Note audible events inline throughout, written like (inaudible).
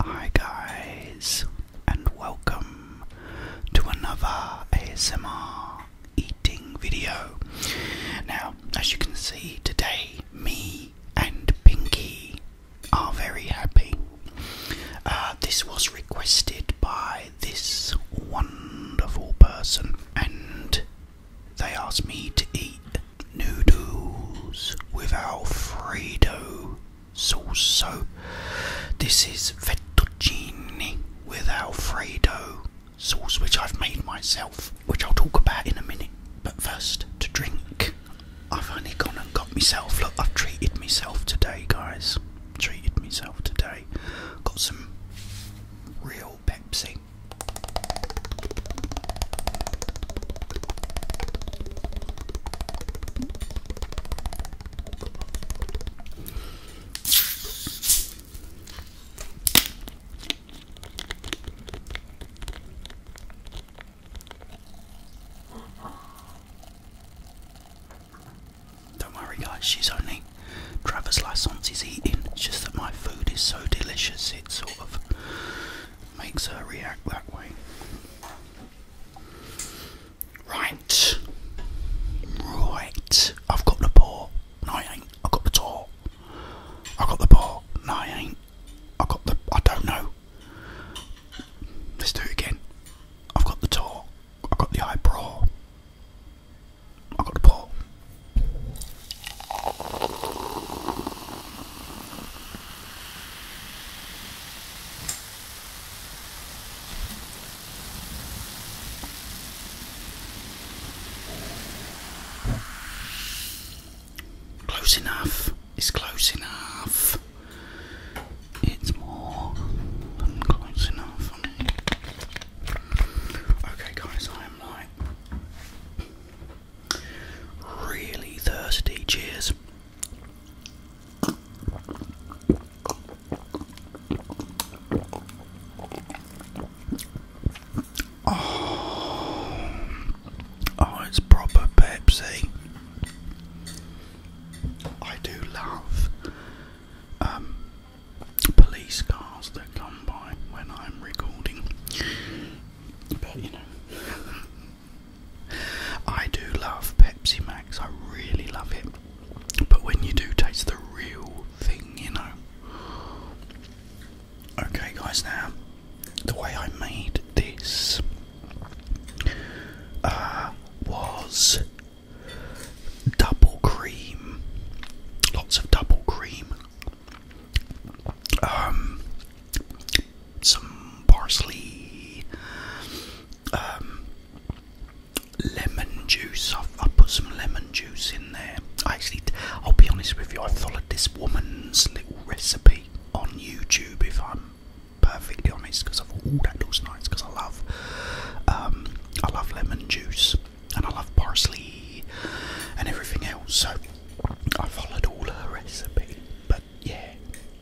Hi guys, and welcome to another ASMR eating video. Now, as you can see today, me and Pinky are very happy. Uh, this was requested by this wonderful person, and they asked me to eat noodles with Alfredo sauce. this is fettuccine with Alfredo sauce, which I've made myself, which I'll talk about in a minute. But first, to drink, I've only gone and got myself. Look, I've treated myself today, guys. Treated myself today. Got some real Pepsi. Don't worry, guys, she's only. Travis Lassance is eating. It's just that my food is so delicious, it sort of makes her react that way. Right, right. I've got the ball. No, I ain't. I got the door. I got the ball. No, I ain't. I got the. I don't know. Let's do it again. I've got the door. I've got the eyebrow. i got the ball. Close enough. It's close enough. It's more than close enough. Okay, guys, I am like Really thirsty. Cheers. Oh, oh, it's proper Pepsi. I do love um, police cars that come by when I'm recording, but you know. (laughs) I do love Pepsi Max, I really love it. But when you do taste the real thing, you know. Okay, guys, now the way I made this uh, was double cream, lots of double cream. Um, some parsley, um, lemon juice. I've, put some lemon juice in there. actually, I'll be honest with you, I followed this woman's little recipe on YouTube. If I'm perfectly honest, because I thought, oh, that looks Because I love, um, I love lemon juice and I love parsley and everything else. I followed all her recipe, but yeah,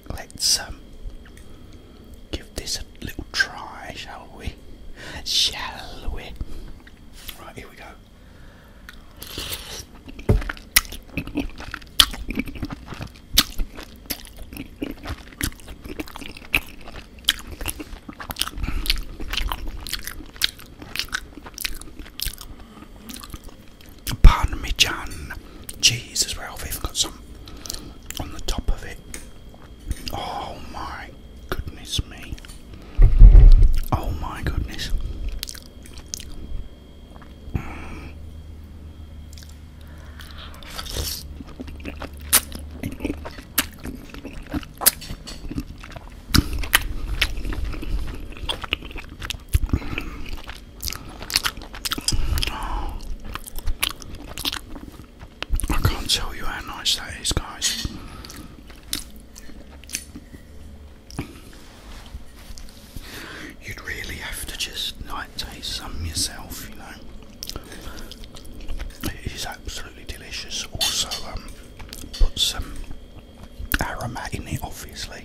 let's um, give this a little try, shall we? Shall we? Right, here we go parmesan cheese as well. I've even got some on the top of it. Oh my goodness me. Oh my goodness. I can't tell you how nice that is, guys. You'd really have to just night taste some yourself, you know. It is absolutely delicious. Also, um, put some aroma in it, obviously.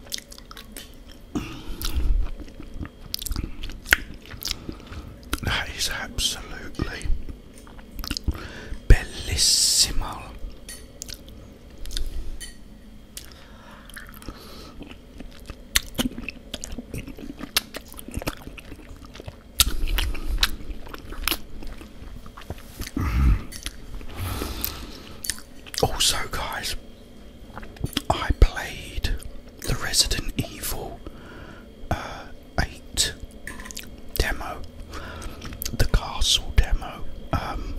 That is absolutely bellissimo. Also, guys, I played the Resident Evil uh, 8 demo, the castle demo. Um,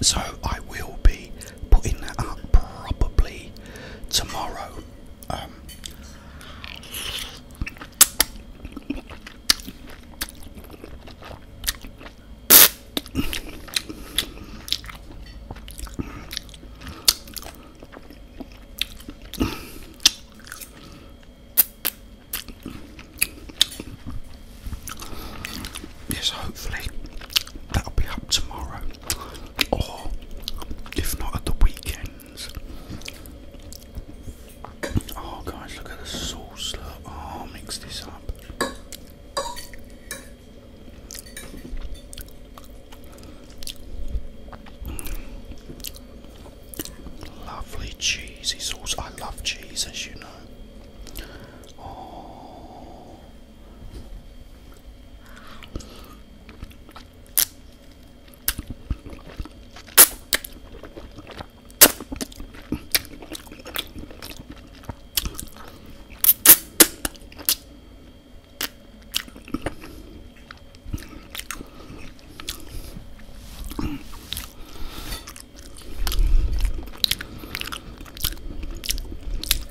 so, I will be putting that up probably tomorrow. Um, Yes, hopefully that'll be up tomorrow, or if not at the weekends. Oh guys, look at the sauce. Look. Oh, I'll mix this up. Lovely cheesy sauce. I love cheese, as you know.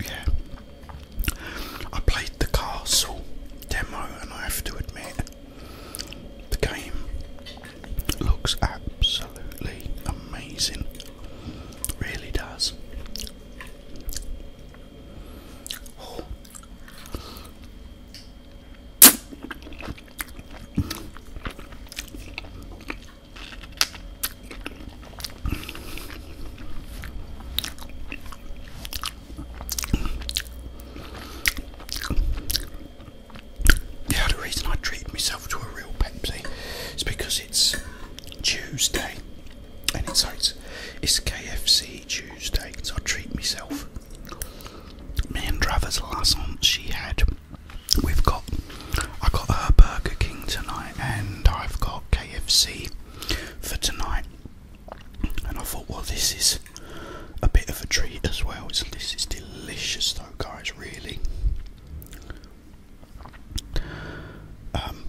Yeah, I played the castle demo, and I have to admit, the game looks absolutely amazing. Really does. Yeah, the reason I treat myself to a real Pepsi is because it's Tuesday, and it's so it's, KFC Tuesday, so I treat myself. Me and Travers last night she had. We've got. I got her Burger King tonight, and I've got KFC for tonight. And I thought, well, this is a bit of a treat as well. So this is delicious guys, really. Um,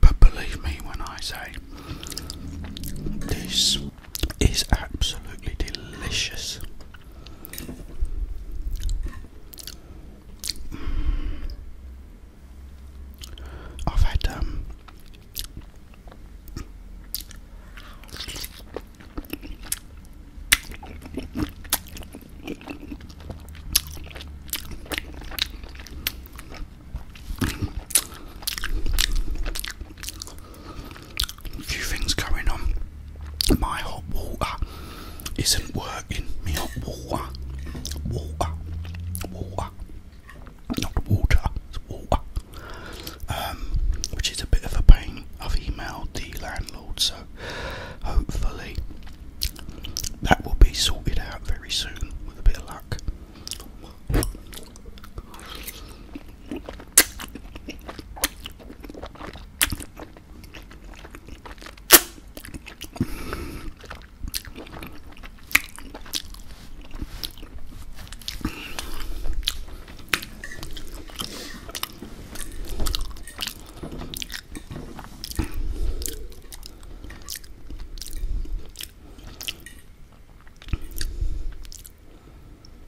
but believe me when I say this is absolutely delicious. I've had um a few things going on. My hot water isn't working. My hot water, water, water, not water, it's water. Um, which is a bit of a pain. I've emailed the landlord, so hopefully that will be sorted out very soon with a bit of luck.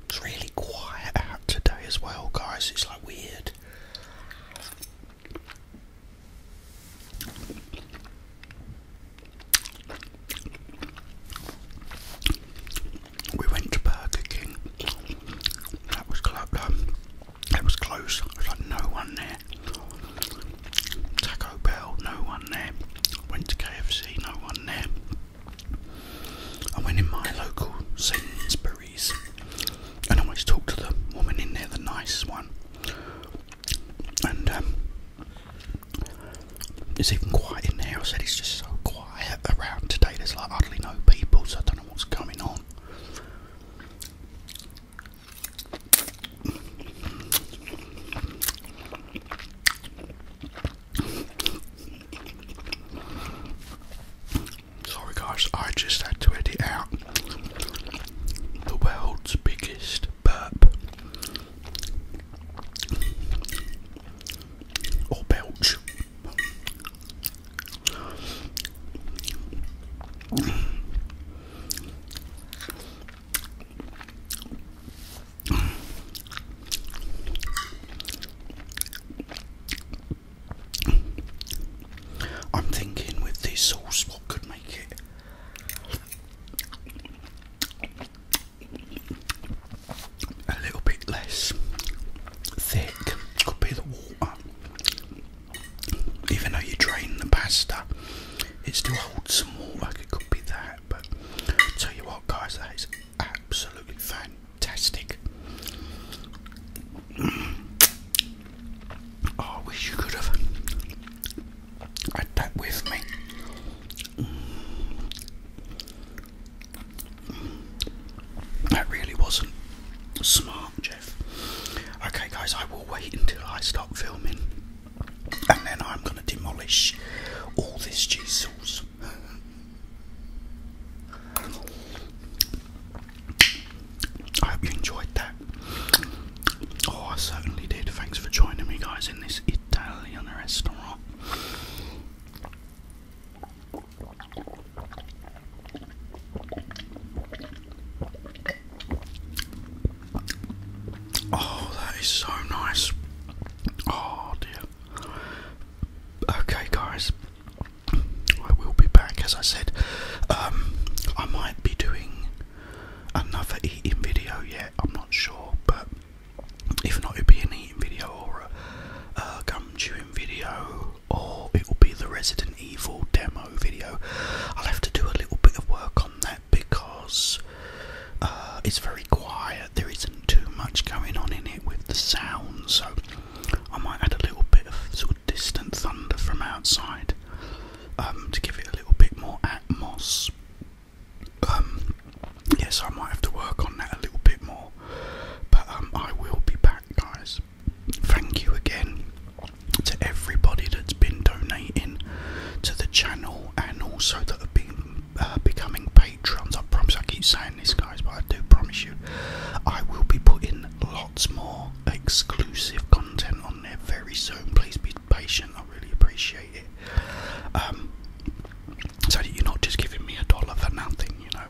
It's really quiet out today as well, guys. It's like weird. We went to Burger King. That was close. It was close. It like no one there. Taco Bell, no one there. Went to KFC, no one there. I went in my local Sainsbury's and always talked to the woman in there, the nice one. And um, it's even quiet in there. I said it's just so quiet around today. There's like utterly no people, so I don't know what's going on. Sorry guys, I just had to edit out the world's biggest burp or belch. I'm thinking with this sauce, what could make it? A little bit less thick could be the water even though you drain the pasta, it still holds some water. Like it could be that, but tell you what, guys, that is absolutely fantastic. (clears throat) Oh, I wish you could have had that with me. That really wasn't smart, Okay, guys, I will wait until I stop filming and then I'm going to demolish all this cheese sauce. I hope you enjoyed that. Oh, I certainly did. Thanks for joining me, guys, in this Italian restaurant. Oh, that is so nice. Oh dear. Okay, guys, I will be back. As I said, um, I might be doing another eating video yet. I'm not sure, but if not, it'd be an eating video or a gum chewing video or it will be the Resident Evil demo video. I'll have to do a little bit of work on that because uh, it's very quiet. There isn't too much going on in it with the sound, so I might add a little bit of sort of distant thunder from outside um, to give it a little bit more atmosphere. Um, yes, I might have to work on that a little bit more, but um, I will be back, guys. Thank you again to everybody that's been donating to the channel and also that have been uh, becoming patrons. I promise I keep saying this, guys, but I do promise you I will be putting lots more exclusive content on there very soon. Please be patient, I really appreciate it. Um, so that you're not just giving me a dollar for nothing, you know.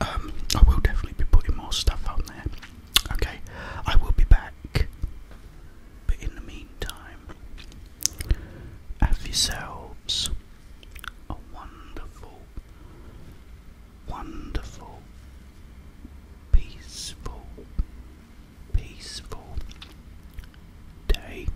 Um, I will definitely be putting more stuff on there. Okay, I will be back. But in the meantime, have yourselves a wonderful, wonderful, peaceful, peaceful day.